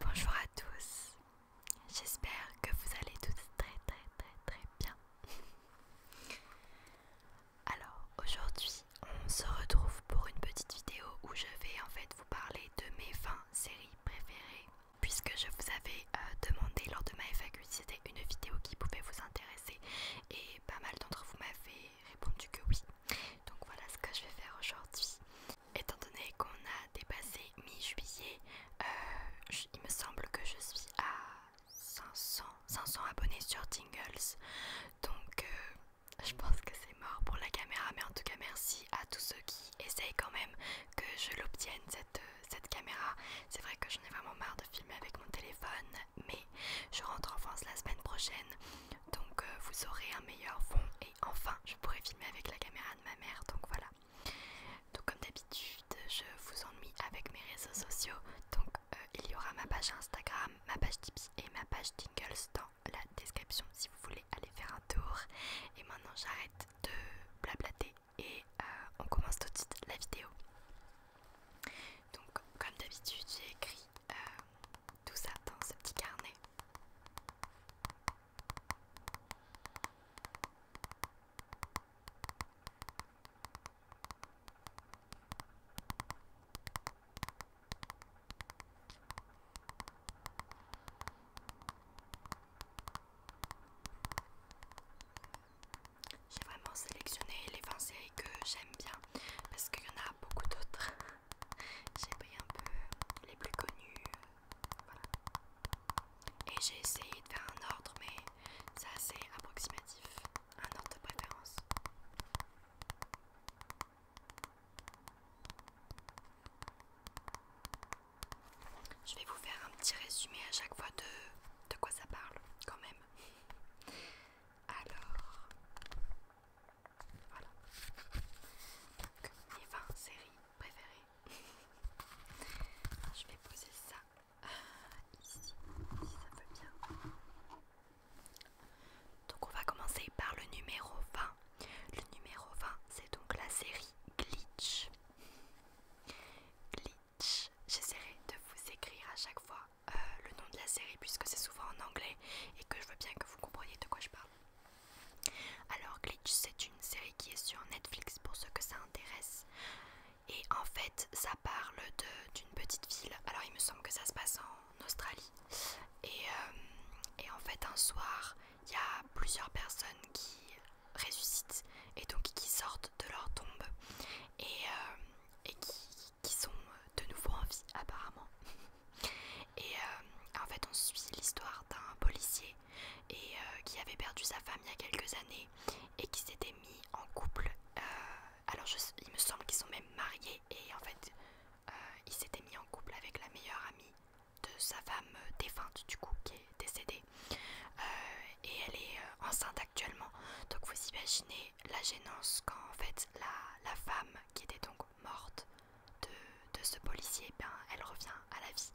Bonjour à tous, j'espère que vous allez tous très très très très bien. Alors aujourd'hui on se retrouve pour une petite vidéo où je vais en fait vous parler de mes vins série préférée puisque je vous avais euh, demandé lors de ma FAQ si c'était une vidéo qui pouvait vous intéresser et pas mal d'entre vous m'avez répondu que oui. Donc voilà ce que je vais faire aujourd'hui. Étant donné qu'on a dépassé mi-juillet, euh, il me semble que je suis à 500, 500 abonnés sur Tingles. Donc euh, je pense que c'est mort pour la caméra, mais en tout cas merci à tous ceux qui essaye quand même que je l'obtienne euh, cette, caméra. C'est vrai que j'en ai vraiment marre de filmer avec mon téléphone, mais je rentre en France la semaine prochaine, donc euh, vous aurez un meilleur fond et enfin je pourrai filmer avec la caméra de ma mère, donc voilà. Donc comme d'habitude, je vous ennuie avec mes réseaux sociaux, donc euh, il y aura ma page Instagram, ma page Tipeee et ma page Tingles la description si vous voulez aller faire un tour. Et maintenant j'arrête de blablater et euh, on commence tout de suite la vidéo. Donc comme d'habitude j'ai écrit euh, tout ça dans ce petit carnet. J'ai vraiment sélectionné les 20 séries que j'aime bien parce qu'il y en a beaucoup d'autres. j'ai pris un peu les plus connues. Et j'ai essayé de faire un ordre, mais c'est assez approximatif. Un ordre de préférence. Je vais vous faire un petit résumé à chaque fois de, de quoi ça parle, quand même. Alors, voilà. Donc, mes 20 séries préférées. Je vais poser ça euh, ici, si ça peut bien. Donc, on va commencer par le numéro 20. Le numéro 20, c'est donc la série Glitch. Glitch. J'essaierai de vous écrire à chaque fois euh, le nom de la série puisque c'est souvent en anglais et que je veux bien que vous compreniez de quoi je parle. Alors Glitch, c'est une série qui est sur Netflix pour ceux que ça intéresse. Et en fait, ça parle d'une petite ville. Alors il me semble que ça se passe en Australie. et euh, en fait, un soir, il y a plusieurs personnes qui ressuscitent et donc qui sortent de leur tombe et, euh, qui, sont de nouveau en vie apparemment. Et euh, en fait on suit l'histoire d'un policier et, euh, qui avait perdu sa femme il y a quelques années et qui s'était mis en couple. alors il me semble qu'ils sont même mariés et en fait ils s'étaient mis en couple avec la meilleure amie de sa femme euh, défunte du coup qui est décédée euh, et elle est euh, enceinte actuellement donc vous imaginez la gênance quand en fait la, femme qui était donc morte de, ce policier ben, elle revient à la vie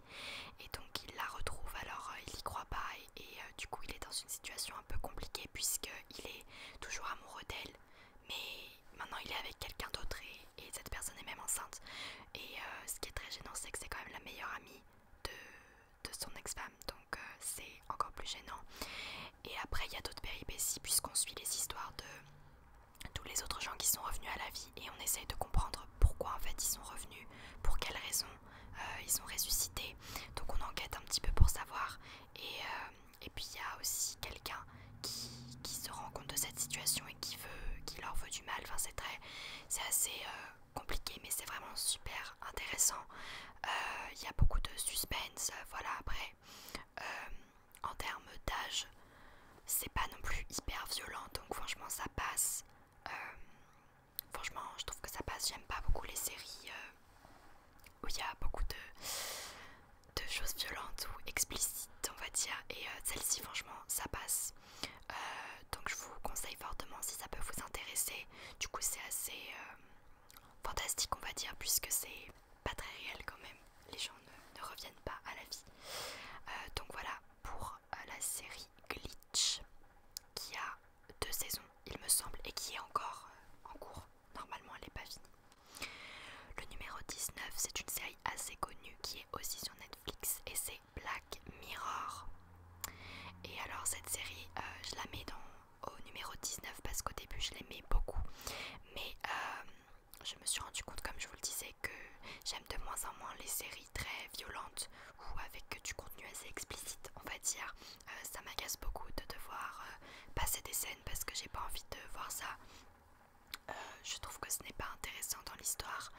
et donc il la retrouve alors il y croit pas et, du coup il est dans une situation un peu compliquée puisqu'il est toujours amoureux d'elle mais maintenant il est avec quelqu'un d'autre et et cette personne est même enceinte. Et euh, ce qui est très gênant, c'est que c'est quand même la meilleure amie de, son ex-femme, donc euh, c'est encore plus gênant. Et après, il y a d'autres péripéties, puisqu'on suit les histoires de tous les autres gens qui sont revenus à la vie et on essaye de comprendre pourquoi en fait ils sont revenus, pour quelles raisons euh, ils sont ressuscités. Donc on enquête un petit peu pour savoir. Et, puis il y a aussi quelqu'un qui, qui se rend compte de cette situation et qui qui, veut, leur veut du mal. Enfin, c'est très, c'est assez euh, compliqué, mais c'est vraiment super intéressant. Euh, il y a beaucoup de suspense. Euh, voilà, après, en termes d'âge, c'est pas non plus hyper violent, donc franchement, ça passe. franchement, je trouve que ça passe. J'aime pas beaucoup les séries où il y a beaucoup de, choses violentes ou explicites, on va dire. Et celle-ci, franchement, ça passe. Euh, donc je vous conseille fortement si ça peut vous intéresser. Du coup c'est assez euh, fantastique on va dire puisque c'est pas très réel quand même. Les gens ne, reviennent pas à la vie. Euh, donc voilà pour la série Glitch qui a deux saisons il me semble et qui est encore en cours. Normalement elle n'est pas finie. Le numéro 19 c'est une série assez connue qui est aussi sur Netflix et c'est Black Mirror. Et alors cette série, euh, je la mets dans, au numéro 19 parce qu'au début je l'aimais beaucoup. Mais euh, je me suis rendu compte, comme je vous le disais, que j'aime de moins en moins les séries très violentes ou avec du contenu assez explicite, on va dire. Euh, ça m'agace beaucoup de devoir passer des scènes parce que j'ai pas envie de voir ça je trouve que ce n'est pas intéressant dans l'histoire.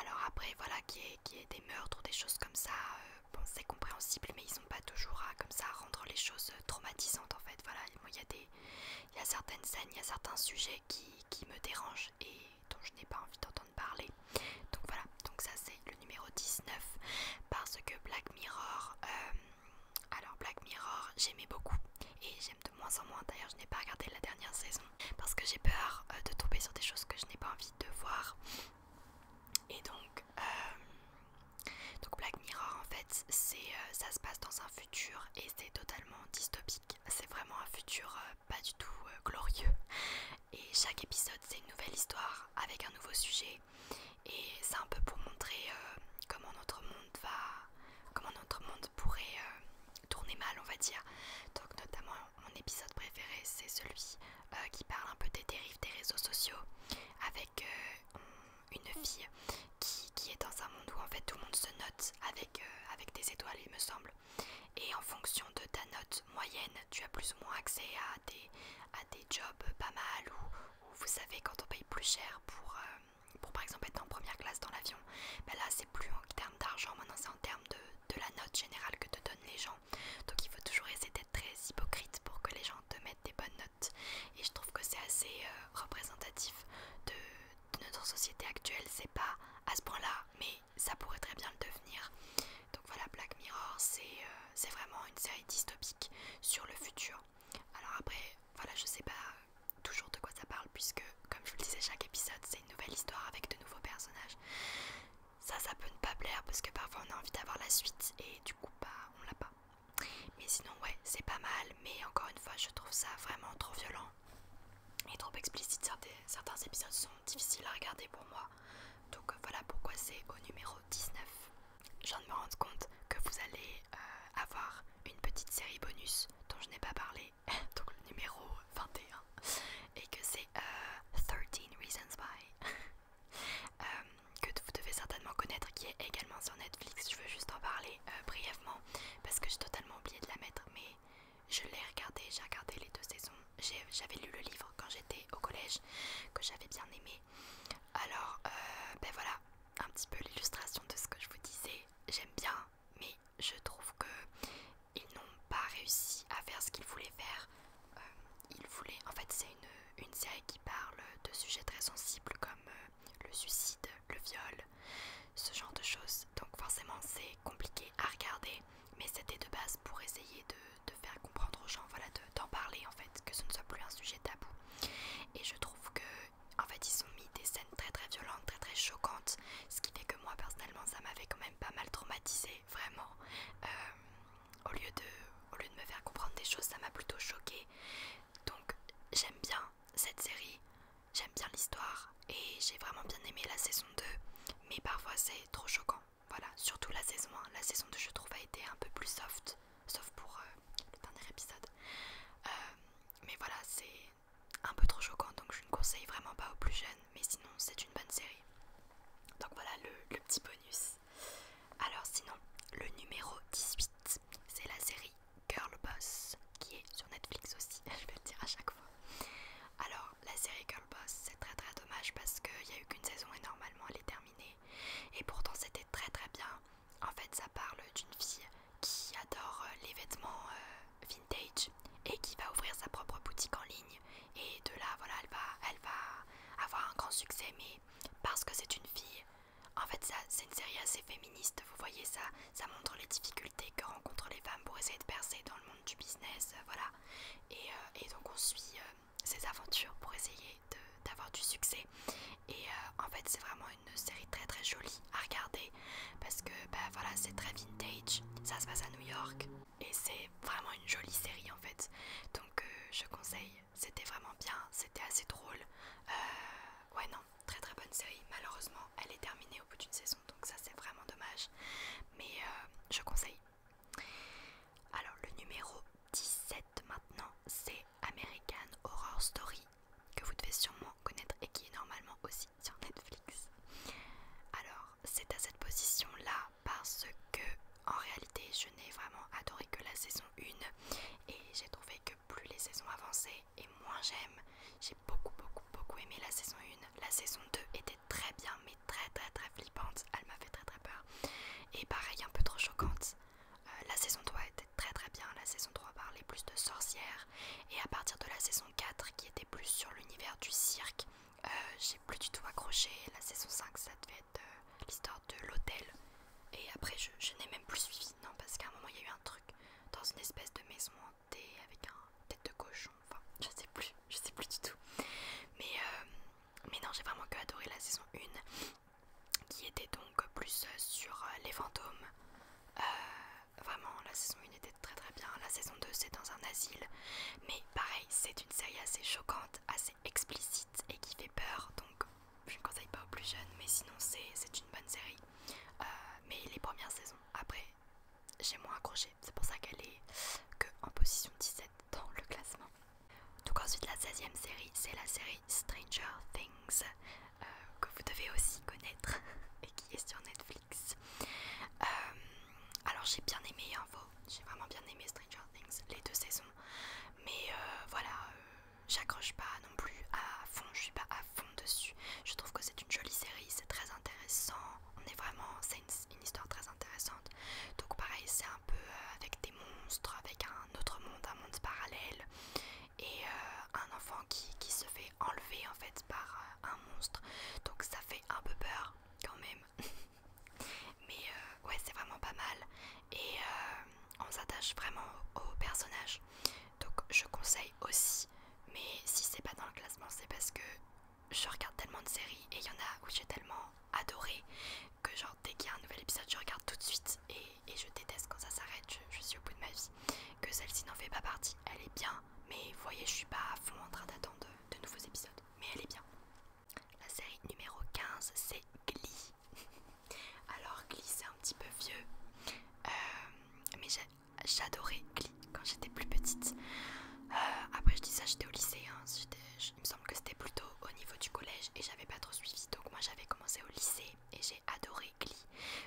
Alors après, voilà, qu'il y, ait des meurtres ou des choses comme ça, euh, bon, c'est compréhensible, mais ils n'ont pas toujours à, comme ça, à rendre les choses euh, traumatisantes, en fait. Voilà, il y, a des, y a certaines scènes, il y a certains sujets qui, qui me dérangent et dont je n'ai pas envie d'entendre parler. Donc voilà, donc ça c'est le numéro 19, parce que Black Mirror, euh, alors Black Mirror, j'aimais beaucoup et j'aime moins en moins. D'ailleurs, je n'ai pas regardé la dernière saison parce que j'ai peur euh, de tomber sur des choses que je n'ai pas envie de voir. Et donc, euh, donc Black Mirror, en fait, c'est euh, ça se passe dans un futur et c'est totalement dystopique. C'est vraiment un futur pas du tout glorieux. Et chaque épisode, c'est une nouvelle histoire avec un nouveau sujet. Et c'est un peu pour montrer comment notre monde va, comment notre monde pourrait euh, tourner mal, on va dire. Donc notamment mon épisode préféré, c'est celui euh, qui parle un peu des dérives des réseaux sociaux, avec euh, une fille qui, est dans un monde où en fait tout le monde se note avec, avec des étoiles, il me semble. Et en fonction de ta note moyenne, tu as plus ou moins accès à des, à des jobs pas mal, ou vous savez quand on paye plus cher pour... par exemple être en première classe dans l'avion, ben là plus en termes d'argent, maintenant c'est en termes de, la note générale que te donnent les gens. Donc il faut toujours essayer d'être très hypocrite pour que les gens te mettent des bonnes notes. Et je trouve que c'est assez euh, représentatif de, notre société actuelle. C'est pas à ce point-là, mais ça pourrait très bien le devenir. Donc voilà, Black Mirror, euh, c'est vraiment une série dystopique sur le futur. Alors après, voilà, je sais pas toujours de quoi ça parle puisque, comme je vous le disais, chaque épisode c'est une nouvelle histoire avec de nouveaux personnages. Ça, ça peut ne pas plaire parce que parfois on a envie d'avoir la suite et du coup, bah, on l'a pas. Mais sinon, ouais, c'est pas mal, mais encore une fois, je trouve ça vraiment trop violent et trop explicite. Certains, épisodes sont difficiles à regarder pour moi, donc euh, voilà pourquoi c'est au numéro 19. Je viens de me rendre compte que vous allez euh, avoir une petite série bonus dont je n'ai pas parlé donc le numéro 21, et que c'est 13 euh, Reasons Why, euh, que vous devez certainement connaître, qui est également sur Netflix. Je veux juste en parler euh, brièvement parce que j'ai totalement oublié de la mettre, mais je l'ai regardé, j'ai regardé les deux saisons. J'avais lu le livre quand j'étais au collège, que j'avais bien aimé. Alors, ben voilà, un petit peu l'illustration de ce que je vous disais. J'aime bien, mais je trouve que ils n'ont pas réussi à faire ce qu'ils voulaient faire. Euh, ils voulaient, en fait, c'est une, série qui parle de sujets très sensibles comme euh, le suicide, le viol, ce genre de choses. Donc forcément, c'est compliqué à regarder, mais c'était de base pour essayer de, faire comprendre aux gens, voilà, d'en parler en fait, que ce ne soit plus un sujet tabou. Et je trouve que en fait ils ont mis des scènes très très violentes, très très choquantes, ce qui fait que moi personnellement ça m'avait quand même pas mal traumatisé, vraiment. Euh, au, lieu de, au lieu de me faire comprendre des choses, ça m'a plutôt choqué, Donc j'aime bien cette série, j'aime bien l'histoire et j'ai vraiment bien aimé la saison 2. Mais parfois c'est trop choquant. Voilà, surtout la saison 1. La saison 2 je trouve a été un peu plus soft, sauf pour les euh, le dernier épisode. Euh, mais voilà, c'est un peu trop choquant donc je ne conseille vraiment pas aux plus jeunes mais sinon c'est une bonne série. Donc voilà le, petit bonus. Alors sinon, le numéro 18, c'est la série Girl Boss, qui est sur Netflix aussi, je vais le dire à chaque fois. Alors la série Girl Boss, c'est très très dommage parce qu'il n'y a eu qu'une saison et normalement elle est terminée. Et pourtant c'était très très bien. En fait ça parle d'une fille qui adore euh, les vêtements euh, vintage et qui va ouvrir sa propre boutique en ligne et de là voilà elle va elle va avoir un grand succès mais parce que c'est une fille en fait ça c'est une série assez féministe vous voyez ça ça montre les difficultés que rencontrent les femmes pour essayer de percer dans le monde du business euh, voilà euh, et, donc on suit ses euh, aventures pour essayer d'avoir du succès et en fait c'est vraiment une série très très jolie à regarder parce que ben voilà c'est très vintage ça se passe à New York et c'est vraiment une jolie série en fait donc euh, je conseille c'était vraiment bien c'était assez drôle euh, ouais non très très bonne série malheureusement elle est terminée au bout d'une saison donc ça c'est vraiment dommage mais euh, je conseille alors le numéro 17 maintenant c'est American Horror Story que vous devez sûrement connaître et qui est normalement aussi sur Netflix alors c'est à cette position-là parce que, en réalité, je n'ai vraiment adoré que la saison 1 et j'ai trouvé que plus les saisons avançaient et moins j'aime. J'ai beaucoup, beaucoup, beaucoup aimé la saison 1. La saison 2 était très bien, mais très, très, très flippante. Elle m'a fait très, très peur. Et pareil, un peu trop choquante. Euh, la saison 3 était très, très bien. La saison 3 parlait plus de sorcières. Et à partir de la saison 4, qui était plus sur l'univers du cirque, euh, j'ai plus du tout accroché. La saison 5, ça devait être euh, l'histoire de l'hôtel. Et après, je, n'ai même plus suivi, non, parce qu'à un moment, il y a eu un truc dans une espèce de maison hantée avec un tête de cochon. Enfin, je sais plus, je sais plus du tout. Mais, euh, mais non, j'ai vraiment que adoré la saison 1 qui était donc plus sur les fantômes. vraiment, la saison était très très bien, la saison 2 c'est dans un asile, mais pareil c'est une série assez choquante, assez explicite et qui fait peur, donc je ne conseille pas aux plus jeunes, mais sinon c'est une bonne série. Euh, mais les premières saisons, après j'ai moins accroché, c'est pour ça qu'elle est que en position 17 dans le classement. Donc ensuite la 16ème série c'est la série Stranger Things euh, que vous devez aussi connaître et qui est sur Netflix. Euh, alors j'ai bien aimé Info, j'ai vraiment bien aimé Stranger Things, les deux saisons. Mais euh, voilà, euh, j'accroche pas non plus à fond, je suis pas à fond dessus. Je trouve que c'est une jolie série, c'est très intéressant. On est vraiment, c'est une, histoire très intéressante. Donc pareil, c'est un peu avec des monstres, avec un autre monde, un monde parallèle. Et un enfant qui, se fait enlever en fait par un monstre. Donc ça fait un peu peur quand même. Mais euh, ouais, c'est vraiment pas mal. Et euh, on s'attache vraiment Aux personnages Donc je conseille aussi. Mais si c'est pas dans le classement, c'est parce que je regarde tellement de séries et il y en a où j'ai tellement adoré que genre dès qu'il y a un nouvel épisode, je regarde tout de suite et, je déteste quand ça s'arrête. Je, suis au bout de ma vie. Que celle-ci n'en fait pas partie. Elle est bien, mais vous voyez, je suis pas à fond en train d'attendre de nouveaux épisodes mais elle est bien. La série numéro 15, c'est Glee. Alors, Glee, c'est un petit peu vieux, euh, mais j'adorais Glee quand j'étais plus petite. Euh, après, je dis ça, j'étais au lycée, hein, il me semble que c'était plutôt au niveau du collège et j'avais pas trop suivi. Donc, moi, j'avais commencé au lycée et j'ai adoré Glee.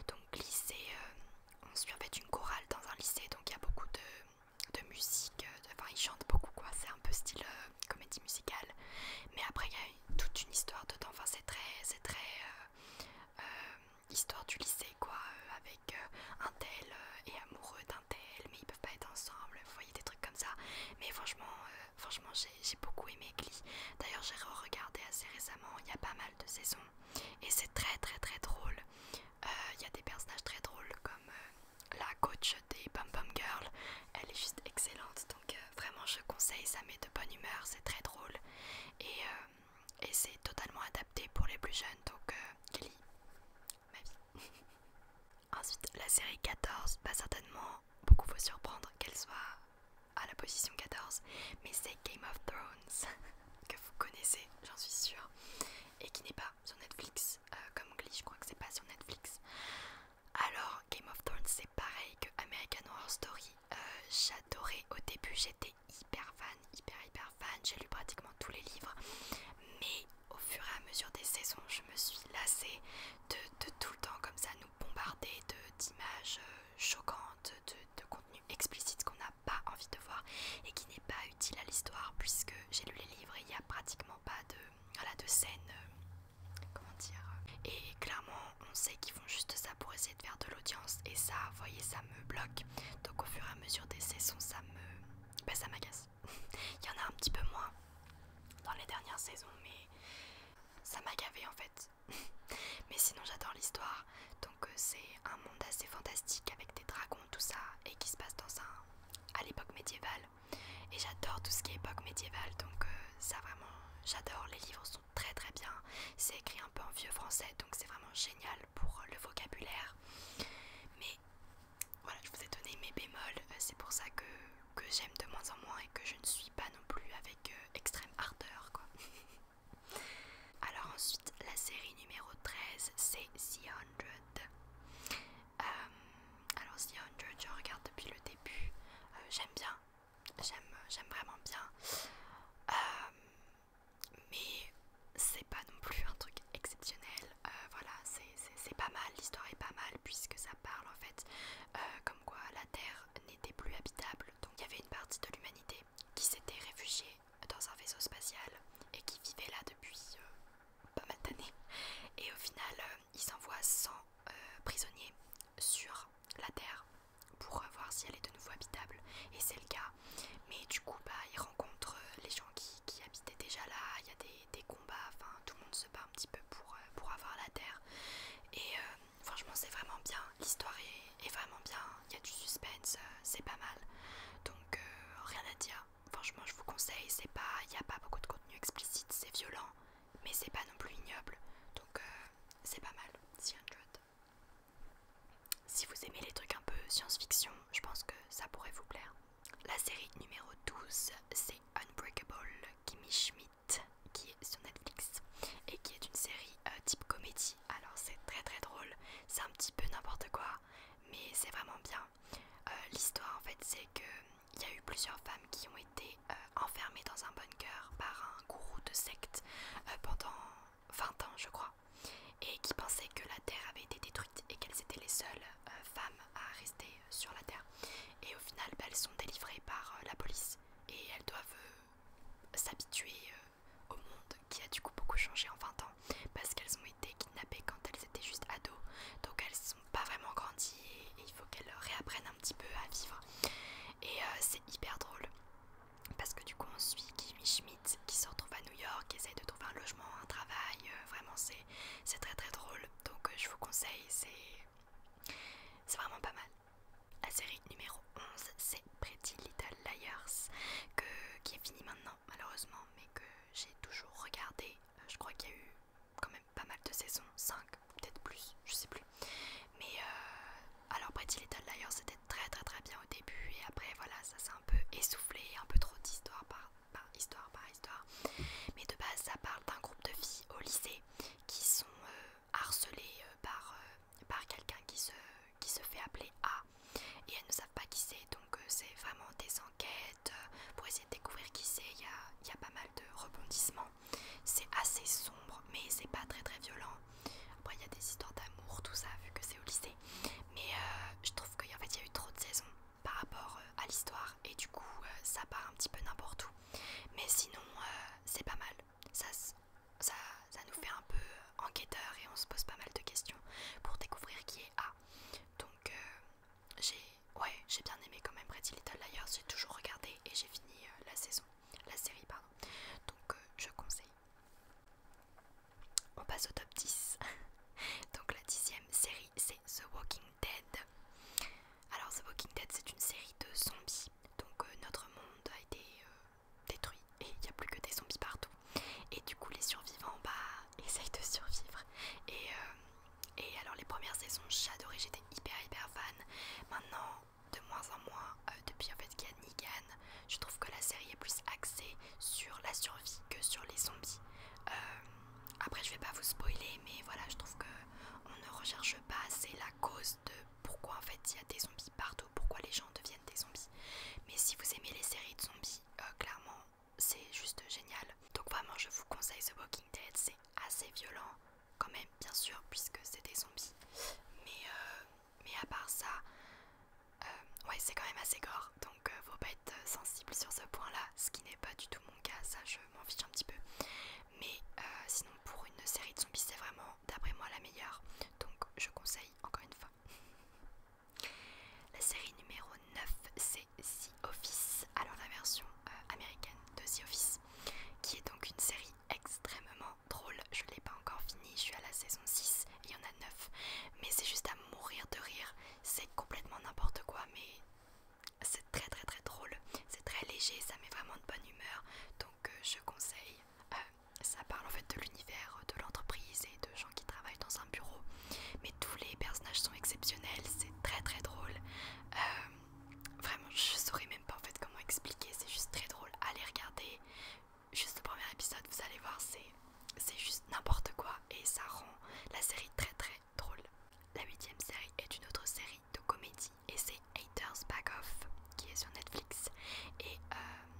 Donc, Glee, c'est. Euh, on suit fait une chorale dans un lycée, donc il y a beaucoup de de musique, euh, enfin il chante beaucoup quoi, c'est un peu style euh, comédie musicale, mais après il y a toute une histoire dedans, enfin c'est très, c'est très euh, histoire du lycée quoi, avec un tel et amoureux d'un tel, mais ils peuvent pas être ensemble, vous voyez des trucs comme ça, mais franchement, franchement j'ai beaucoup aimé Glee, d'ailleurs j'ai regardé assez récemment, il y a pas mal de saisons, et c'est très très très drôle, il y a des personnages très drôles comme la coach des Pom Pom Girls, elle est juste excellente. Donc euh, vraiment je conseille, ça met de bonne humeur, c'est très drôle. Et, euh, c'est totalement adapté pour les plus jeunes. Donc euh, Kelly, ma vie. Ensuite, la série 14 pas bah, certainement beaucoup vous surprendre qu'elle soit à la position 14, mais c'est Game of Thrones que vous connaissez, j'en suis sûre, et qui n'est pas sur Netflix, euh, comme Glee, je crois que c'est pas sur Netflix. Alors, Game of Thrones, c'est pareil que American Horror Story. Euh, j'adorais au début, j'étais hyper fan, hyper hyper fan. J'ai lu pratiquement tous les livres, mais au fur et à mesure des saisons, je me suis lassée de, tout le temps comme ça nous bombarder d'images euh, choquantes, de, de contenu explicite qu'on n'a pas envie de voir et qui n'est pas utile à l'histoire puisque j'ai lu les livres et il n'y a pratiquement pas de, de scène, euh, comment dire. Euh. Et clairement, on sait qu'ils font juste ça pour essayer de faire de l'audience et ça, vous voyez, ça me bloque. Donc au fur et à mesure des saisons, ça me, bah, ça m'agace. il y en a un petit peu moins dans les dernières saisons, mais ça m'a gavé en fait. mais sinon, j'adore l'histoire. Donc euh, c'est un monde assez fantastique avec des dragons, tout ça, et qui se passe dans un à l'époque médiévale. Et j'adore tout ce qui est époque médiévale, donc euh, ça vraiment, j'adore. Les livres sont très très bien. C'est écrit un peu en vieux français, donc c'est vraiment génial pour euh, le vocabulaire. Mais voilà, je vous ai donné mes bémols. Euh, c'est pour ça que, j'aime de moins en moins et que je ne suis pas non plus avec extrême ardeur, quoi. Alors ensuite, la série numéro 13, c'est The Hundred. Euh, alors The je regarde depuis le début. Euh, j'aime bien. J'aime vraiment bien. Euh, mais c'est pas non plus un truc exceptionnel. voilà, c'est pas mal. L'histoire est pas mal puisque ça parle en fait comme quoi la Terre n'était plus habitable. Donc il y avait une partie de l'humanité qui s'était réfugiée dans un vaisseau spatial et qui vivait là depuis pas mal d'années. Et au final, euh, ils envoient 100 euh, prisonniers sur la Terre pour euh, voir si elle est de nouveau habitable. Et c'est le cas. Mais du coup, bah, ils rencontrent les gens qui, habitaient déjà là. Il y a des, combats. Enfin, tout le monde se bat un petit peu pour, avoir la Terre. Et franchement, c'est vraiment bien. L'histoire est, vraiment bien. Il y a du suspense. c'est pas mal. Donc, rien à dire franchement je vous conseille, c'est pas, il n'y a pas beaucoup de contenu explicite, c'est violent, mais c'est pas non plus ignoble, donc euh, c'est pas mal, Si vous aimez les trucs un peu science-fiction, je pense que ça pourrait vous plaire. La série numéro 12, c'est Unbreakable Kimmy Schmidt, qui est sur Netflix, et qui est une série euh, type comédie, alors c'est très très drôle, c'est un petit peu n'importe quoi, mais c'est vraiment bien. Euh, l'histoire en fait c'est qu'il euh, y a eu plusieurs femmes qui ont été euh, enfermées dans un bunker par un gourou de secte pendant 20 ans je crois et qui pensaient que la Terre avait été détruite et qu'elles étaient les seules femmes à rester sur la Terre. Et au final bah, elles sont délivrées par la police et elles doivent s'habituer au monde qui a du coup beaucoup changé en 20 ans parce qu'elles ont été kidnappées quand elles étaient juste ados donc elles sont pas vraiment grandi et, il faut qu'elle réapprenne un petit peu à vivre. Et euh, c'est hyper drôle parce que du coup on suit Kimmy Schmidt qui se retrouve à New York, qui essaye de trouver un logement, un travail. Euh, vraiment c'est très très drôle. Donc euh, je vous conseille, c'est vraiment pas mal. La série numéro 11 c'est Pretty Little Liars qui est finie maintenant malheureusement mais que j'ai toujours regardé je crois qu'il y a eu quand même pas mal de saisons, 5, peut-être plus, je sais plus. Mais euh, alors Pretty Little Liars c'était très très très bien au début et après voilà ça s'est un peu essoufflé, un peu trop d'histoire par, histoire par histoire. Mais de base ça parle d'un groupe de filles au lycée qui sont euh, harcelées euh, par, par quelqu'un qui se, qui se fait appeler A et elles ne savent pas qui c'est donc c'est vraiment des enquêtes euh, pour essayer de découvrir qui c'est, il y a, pas mal de rebondissements, c'est assez sombre mais c'est pas très très violent, après il y a des histoires d'amour, tout ça vu que c'est au lycée, mais euh, je trouve qu'il en fait, y a eu trop de saisons par rapport euh, à l'histoire et du coup ça part un petit peu n'importe où, mais sinon c'est pas mal, ça, ça, ça nous fait un peu enquêteur et on se pose pas mal de questions pour découvrir qui est A. Donc j'ai ouais, j'ai bien aimé quand même Pretty Little Liars, j'ai toujours regardé et j'ai fini euh, la saison, la série pardon. Donc euh, je conseille. On passe au top 10. Donc la dixième série c'est The Walking Dead. Alors The Walking Dead c'est une série de zombies. Donc euh, notre monde a été détruit et il n'y a plus que des zombies partout. Et du coup les survivants bah essayent de survivre. Et et alors les premières saisons, j'adorais, j'étais hyper hyper fan. Maintenant, de moins en moins, euh, depuis en fait qu'il y a je trouve que la série est plus axée sur la survie que sur les zombies. Euh, après, je vais pas vous spoiler, mais voilà, je trouve que on ne recherche pas assez la cause de pourquoi en fait il y a des zombies partout, pourquoi les gens deviennent des zombies. Mais si vous aimez les séries de zombies, euh, clairement, c'est juste génial. Donc vraiment je vous conseille The Walking Dead, c'est assez violent quand même bien sûr puisque c'est des zombies. Mais, euh, mais à part ça, euh, ouais c'est quand même assez gore, donc euh, faut pas être sensible sur ce point-là, ce qui n'est pas du tout mon cas, ça je m'en fiche un petit peu. Mais sinon pour une série de zombies c'est vraiment d'après moi la meilleure, donc je conseille encore une fois. La série numéro 9 c'est The Office, alors la version euh, américaine de The Office, qui est donc une série extrêmement drôle. Je ne l'ai pas encore finie, je suis à la saison 6, il y en a 9, mais c'est juste à mourir de rire. C'est complètement n'importe quoi, mais c'est très très très drôle, c'est très léger, ça met vraiment de bonne humeur, donc euh, je conseille. Euh, ça parle en fait de l'univers de l'entreprise et de gens qui travaillent dans un bureau, tous les personnages sont exceptionnels, c'est très très drôle. Euh, vraiment, je saurais même pas en fait comment expliquer, c'est juste très drôle. Allez regarder juste le premier épisode, vous allez voir, c'est juste n'importe quoi et ça rend la série très très drôle. La huitième série est une autre série de comédie et c'est Haters Back Off qui est sur Netflix et euh,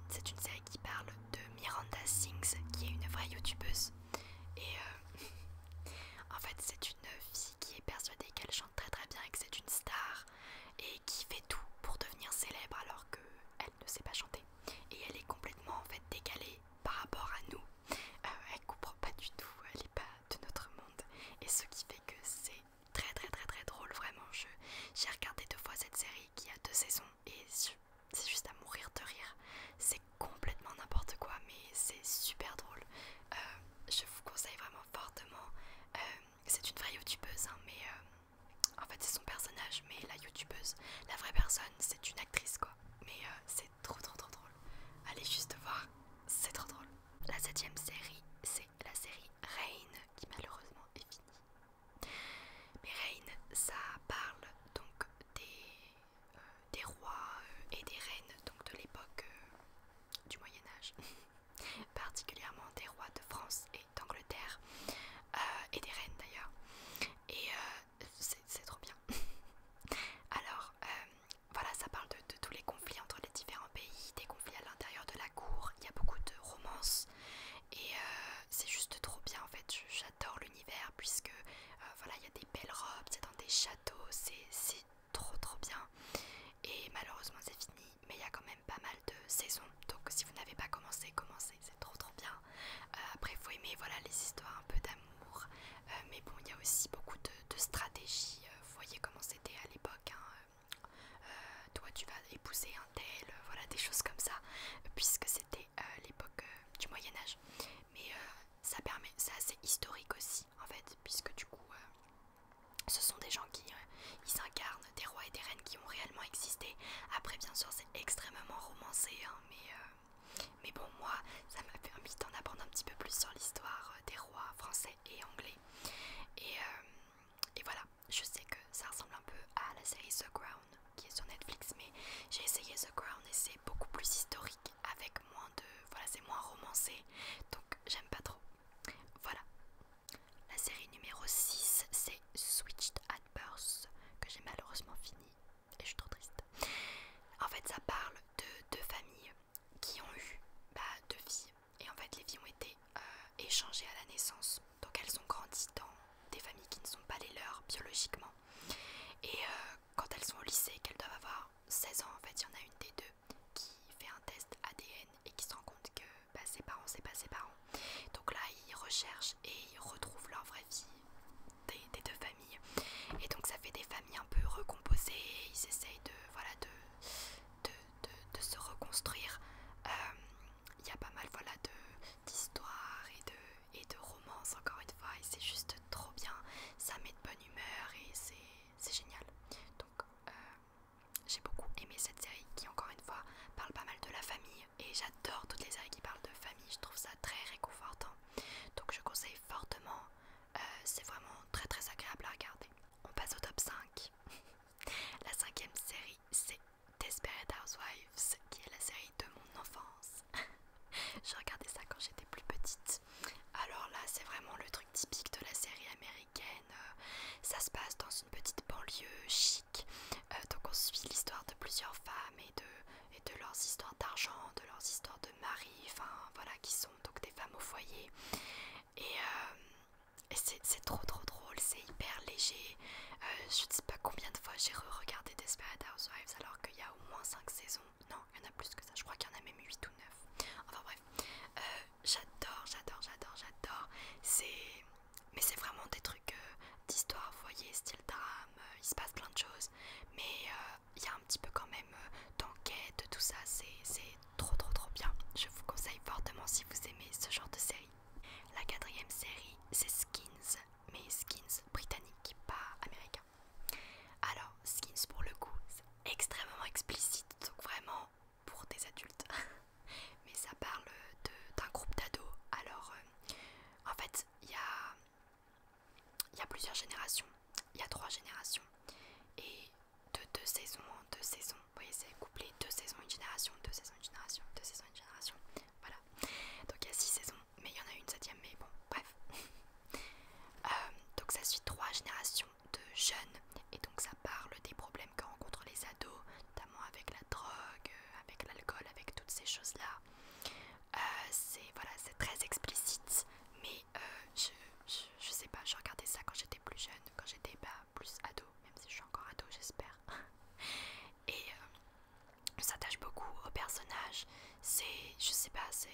c'est une série qui parle de Miranda Sings qui est une vraie youtubeuse et euh, euh, en fait c'est une fille qui est persuadée qu'elle chante très très bien et que c'est une star et qui fait tout pour devenir célèbre alors qu'elle ne sait pas chanter et elle est complètement en fait décalée par rapport à nous. Euh, elle comprend pas du tout, elle est pas de notre monde et ce qui fait que c'est très très très très drôle vraiment. J'ai regardé deux fois cette série qui a deux saisons et c'est juste à mourir de rire complètement n'importe quoi, mais c'est super drôle. Euh, je vous conseille vraiment fortement. Euh, c'est une vraie youtubeuse, hein, mais euh, en fait c'est son personnage, mais la youtubeuse, la vraie personne, c'est une actrice quoi. Mais c'est trop trop trop drôle. Allez juste voir, c'est trop drôle. La septième série, c'est la série Rain, qui malheureusement est finie. Mais Rain, ça parle donc des euh, des rois euh, et des reines donc de l'époque euh, du Moyen Âge, particulièrement des rois de France et d'Angleterre et des reines d'ailleurs. Et c'est trop bien. Alors voilà, ça parle de, tous les conflits entre les différents pays, des conflits à l'intérieur de la cour. Il y a beaucoup de romances et c'est juste trop bien en fait. J'adore l'univers puisque voilà, il y a des belles robes, c'est dans des châteaux c'est trop trop bien. Et malheureusement c'est fini, mais il y a quand même pas mal de saisons. Donc si vous n'avez pas commencé, commencez, c'est trop trop bien. après euh, après faut aimer voilà, les histoires un peu d'amour. Euh, mais bon, il y a aussi beaucoup de, de stratégies. Euh, vous voyez comment c'était à l'époque. Hein. toi tu vas épouser un tel, voilà des choses comme ça. Puisque c'était l'époque du Moyen Âge mais euh, ça permet, c'est assez historique aussi en fait, puisque du coup, euh, ce sont des gens qui euh, s'incarnent, des rois et des reines qui ont réellement existé. Après, bien sûr, c'est extrêmement romancé, hein, mais mais bon, moi, ça m'a permis d'en apprendre un petit peu plus sur l'histoire des rois français et anglais. Et, et voilà, je sais que ça ressemble un peu à la série The Crown qui est sur Netflix, mais j'ai essayé The Crown et c'est beaucoup plus historique avec moins de... Voilà, c'est moins romancé, donc j'aime pas trop. Voilà. La série numéro 6, c'est Switched at Birth, que j'ai malheureusement fini, et je suis trop triste. En fait, ça parle de deux familles qui ont eu bah, deux filles, et en fait, les filles ont été euh, échangées à la naissance. Donc, elles ont grandi dans des familles qui ne sont pas les leurs biologiquement. Et euh, quand elles sont au lycée, qu'elles doivent avoir 16 ans en fait, il y en a une des deux qui fait un test ADN et qui se rend compte que bah, ses parents, c'est pas ses parents. Donc là, ils recherchent et ils retrouvent leur vraie vie des, deux familles. Et donc ça fait des familles un peu recomposées. ils essayent de, voilà, de, de, se reconstruire. Euh, il y a pas mal voilà, d'histoires et de, et de romances encore une fois. Et c'est juste trop bien, ça met de bonne humeur et c'est génial. Donc euh, j'ai beaucoup aimé cette série qui encore une fois parle pas mal de la famille et j'adore toutes les séries qui parlent de famille, je trouve ça très réconfortant. Donc je conseille fortement, euh, c'est vraiment très très agréable à regarder. On passe au top 5. la cinquième série c'est Desperate Housewives qui est la série de mon enfance. je regardais ça quand j'étais plus petite alors là, c'est vraiment le truc typique de la série américaine. Euh, ça se passe dans une petite banlieue chic. Euh, donc on suit l'histoire de plusieurs femmes et de, et de leurs histoires d'argent, de leurs histoires de mari, enfin voilà, qui sont donc des femmes au foyer. Et, euh, c'est trop trop drôle, c'est hyper léger. je ne sais pas combien de fois j'ai re-regardé Desperate Housewives alors qu'il y a au moins 5 saisons. Non, il y en a plus que ça, je crois qu'il y en a même 8 ou 9. Enfin bref, euh, j'adore, j'adore, j'adore, j'adore. C'est... Mais c'est vraiment des trucs euh, d'histoire, vous voyez, style drame, euh, il se passe plein de choses. Mais il y a un petit peu quand même d'enquête, tout ça, c'est trop trop trop bien. Je vous conseille fortement si vous aimez ce genre de série. La quatrième série, c'est Skins, mais Skins britannique, pas américain. Alors, Skins pour le coup, c'est extrêmement explicite, donc vraiment pour des adultes. Mais ça parle d'un groupe d'ados. Alors, euh, en fait, il y a, y a plusieurs générations. Il y a trois générations. Et de deux saisons en deux saisons. Vous voyez, c'est couplé deux saisons, une génération, deux saisons, une génération, deux saisons, une génération. Voilà. Donc il y a six saisons, mais il y en a une septième, mais bon, bref. Euh, donc ça suit trois générations de jeunes et donc ça parle des problèmes que rencontrent les ados, notamment avec la drogue, euh, avec l'alcool, avec toutes ces choses-là. Euh, c'est voilà, c'est très explicite, mais je, je, sais pas, je regardais ça quand j'étais plus jeune, quand j'étais pas plus ado, même si je suis encore ado, j'espère. et ça tâche beaucoup aux personnages. C'est, je sais pas, c'est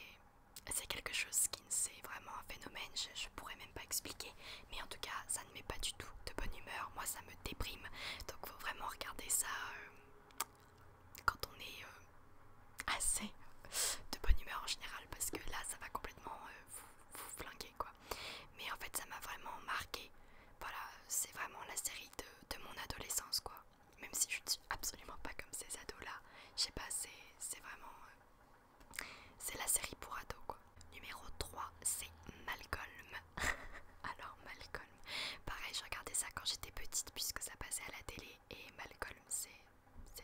c'est quelque chose qui ne c'est vraiment un phénomène, je, ne pourrais même pas expliquer, mais en tout cas ça ne met pas du tout de bonne humeur, moi ça me déprime, donc faut vraiment regarder ça euh, quand on est euh, assez de bonne humeur en général, parce que là ça va complètement euh, vous, flinguer quoi. Mais en fait ça m'a vraiment marqué, voilà, c'est vraiment la série de, de mon adolescence quoi, même si je ne suis absolument pas comme ces ados là, je sais pas, c'est vraiment... C'est la série pour ados quoi. Numéro 3, c'est Malcolm. Alors Malcolm, pareil, je regardais ça quand j'étais petite puisque ça passait à la télé et Malcolm c'est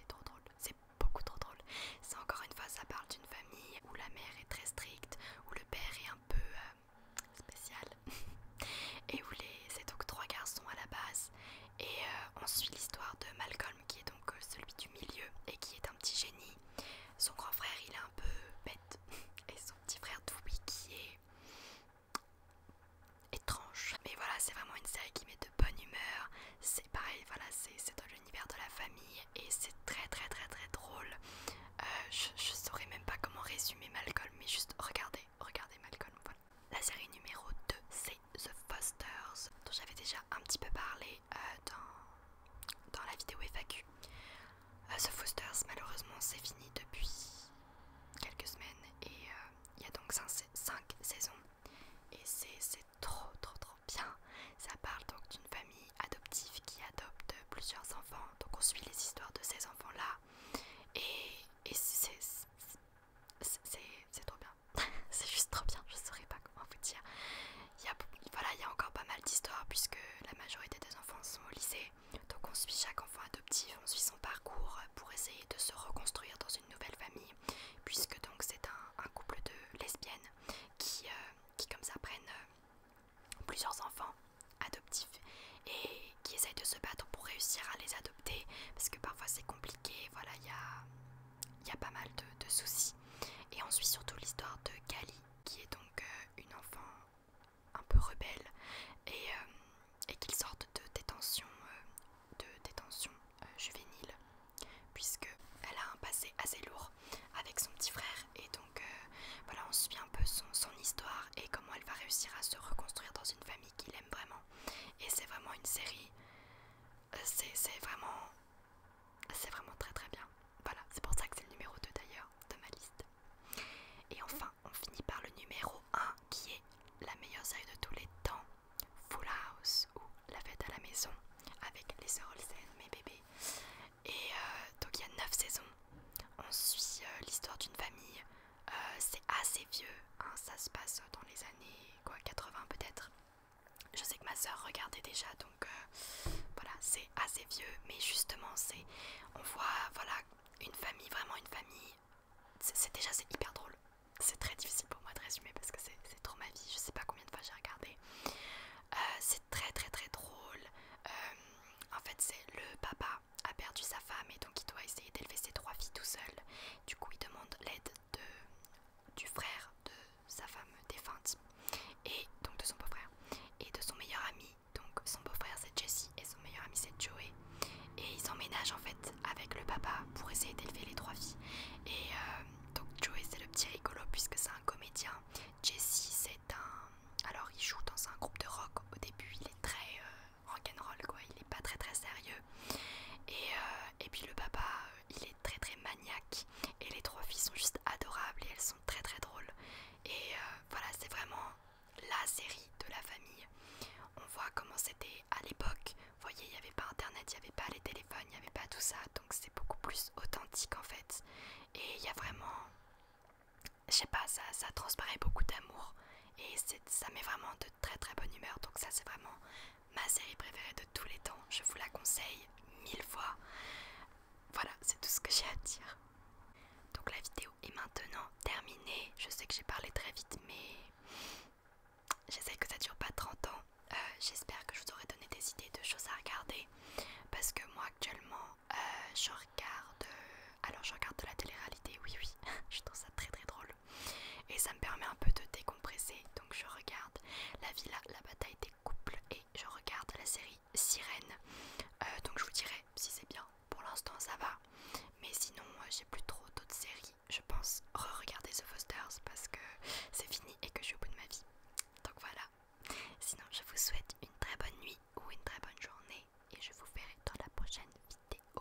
trop drôle, c'est beaucoup trop drôle. C'est encore une fois, ça parle d'une famille où la mère est très stricte, où le père est un peu euh, spécial et où les c'est donc trois garçons à la base et euh, on suit l'histoire de Malcolm qui est donc euh, celui du milieu et qui est un petit génie. Son grand frère il est un peu bête et son petit frère Toby qui est étrange. Mais voilà c'est vraiment une série qui met de bonne humeur. C'est pareil voilà c'est dans l'univers de la famille et c'est très très très très drôle. Euh, je, je saurais même pas comment résumer Malcolm mais juste regardez regardez Malcolm la série numéro 2 c'est The Fosters dont j'avais déjà un petit peu parlé euh, dans, dans la vidéo FAQ. Euh, The Fosters malheureusement c'est fini depuis quelques semaines et euh, il y a donc 5, saisons et c'est trop trop trop bien. Ça parle donc d'une famille adoptive qui adopte plusieurs enfants donc on suit les histoires de ces enfants là et c'est trop bien c'est juste trop bien, je saurais pas comment vous dire. Il y a, voilà, il y a encore pas mal d'histoires puisque la majorité des enfants sont au lycée. Donc on suit chaque enfant adoptif, on suit son parcours pour essayer de se reconstruire dans une nouvelle famille. Puisque donc c'est un, couple de lesbiennes qui, euh, qui comme ça prennent euh, plusieurs enfants adoptifs et qui essayent de se battre pour réussir à les adopter parce que parfois c'est compliqué voilà, il y a, pas mal de, soucis. Et on suit surtout l'histoire de Kali, qui est donc euh, une enfant un peu rebelle et, qu'il euh, et de détention, euh, de détention juvénile, puisque elle a un passé assez lourd avec son petit frère et donc voilà on suit un peu son, son histoire et comment elle va réussir à se reconstruire dans une famille qu'il aime vraiment et c'est vraiment une série c'est vraiment, c'est vraiment très très bien. Voilà, c'est pour ça que c'est le numéro 2 d'ailleurs de ma liste. Et enfin, on finit par le numéro 1 qui est la meilleure série de tous les temps, Full House ou La fête à la maison avec les sœurs Olsen, mes bébés. Et euh, donc il y a 9 saisons. On suit euh, l'histoire d'une famille. Euh, c'est assez vieux, hein, ça se passe dans les années quoi, 80 peut-être. Je sais que ma soeur regardait déjà, donc euh, voilà, c'est assez vieux, mais justement, c'est, on voit, voilà, une famille, vraiment une famille. C'est déjà, c'est hyper drôle. C'est très difficile pour moi de résumer parce que c'est trop ma vie. Je sais pas combien de fois j'ai regardé. Euh, c'est très très très drôle. Euh, en fait, c'est le papa a perdu sa femme et donc il doit essayer d'élever ses trois filles tout seul. Du coup, il demande l'aide de, du frère de sa femme défunte et donc de son beau-frère et de son meilleur ami donc son beau-frère c'est Jesse et son meilleur ami c'est Joey et ils emménagent en fait avec le papa pour essayer d'élever les trois filles et euh, donc Joey c'est le petit rigolo puisque c'est un comédien Jesse c'est un alors il joue dans un groupe de rock au début il est très euh, rock'n'roll quoi il est pas très très sérieux et, euh, et puis le papa il est très très maniaque et les trois filles sont juste adorables et elles sont très très drôles. Et euh, voilà, c'est vraiment la série de la famille. On voit comment c'était à l'époque. Vous voyez, il n'y avait pas internet, il n'y avait pas les téléphones, il n'y avait pas tout ça. Donc c'est beaucoup plus authentique en fait. Et il y a vraiment... Je sais pas, ça, ça transparaît beaucoup d'amour. Et ça met vraiment de très très bonne humeur. Donc ça c'est vraiment ma série préférée de tous les temps. Je vous la conseille mille fois. Voilà, c'est tout ce que j'ai à dire. Donc la vidéo est maintenant terminée. Je sais que j'ai parlé très vite, mais j'essaie que ça dure pas 30 ans. Euh, j'espère que je vous aurai donné des idées de choses à regarder. Parce que moi actuellement, euh, je regarde... Euh, alors je regarde de la télé-réalité, oui oui. je trouve ça très très drôle. Et ça me permet un peu de décompresser. Donc je regarde la villa, la bataille des couples et je regarde la série Sirène. Euh, donc je vous dirai si c'est bien. Pour l'instant ça va. Mais sinon euh, j'ai plus trop d'autres séries. Je pense re-regarder The Fosters parce que c'est fini et que je suis au bout de ma vie. Donc voilà. Sinon je vous souhaite une très bonne nuit ou une très bonne journée. Et je vous verrai dans la prochaine vidéo.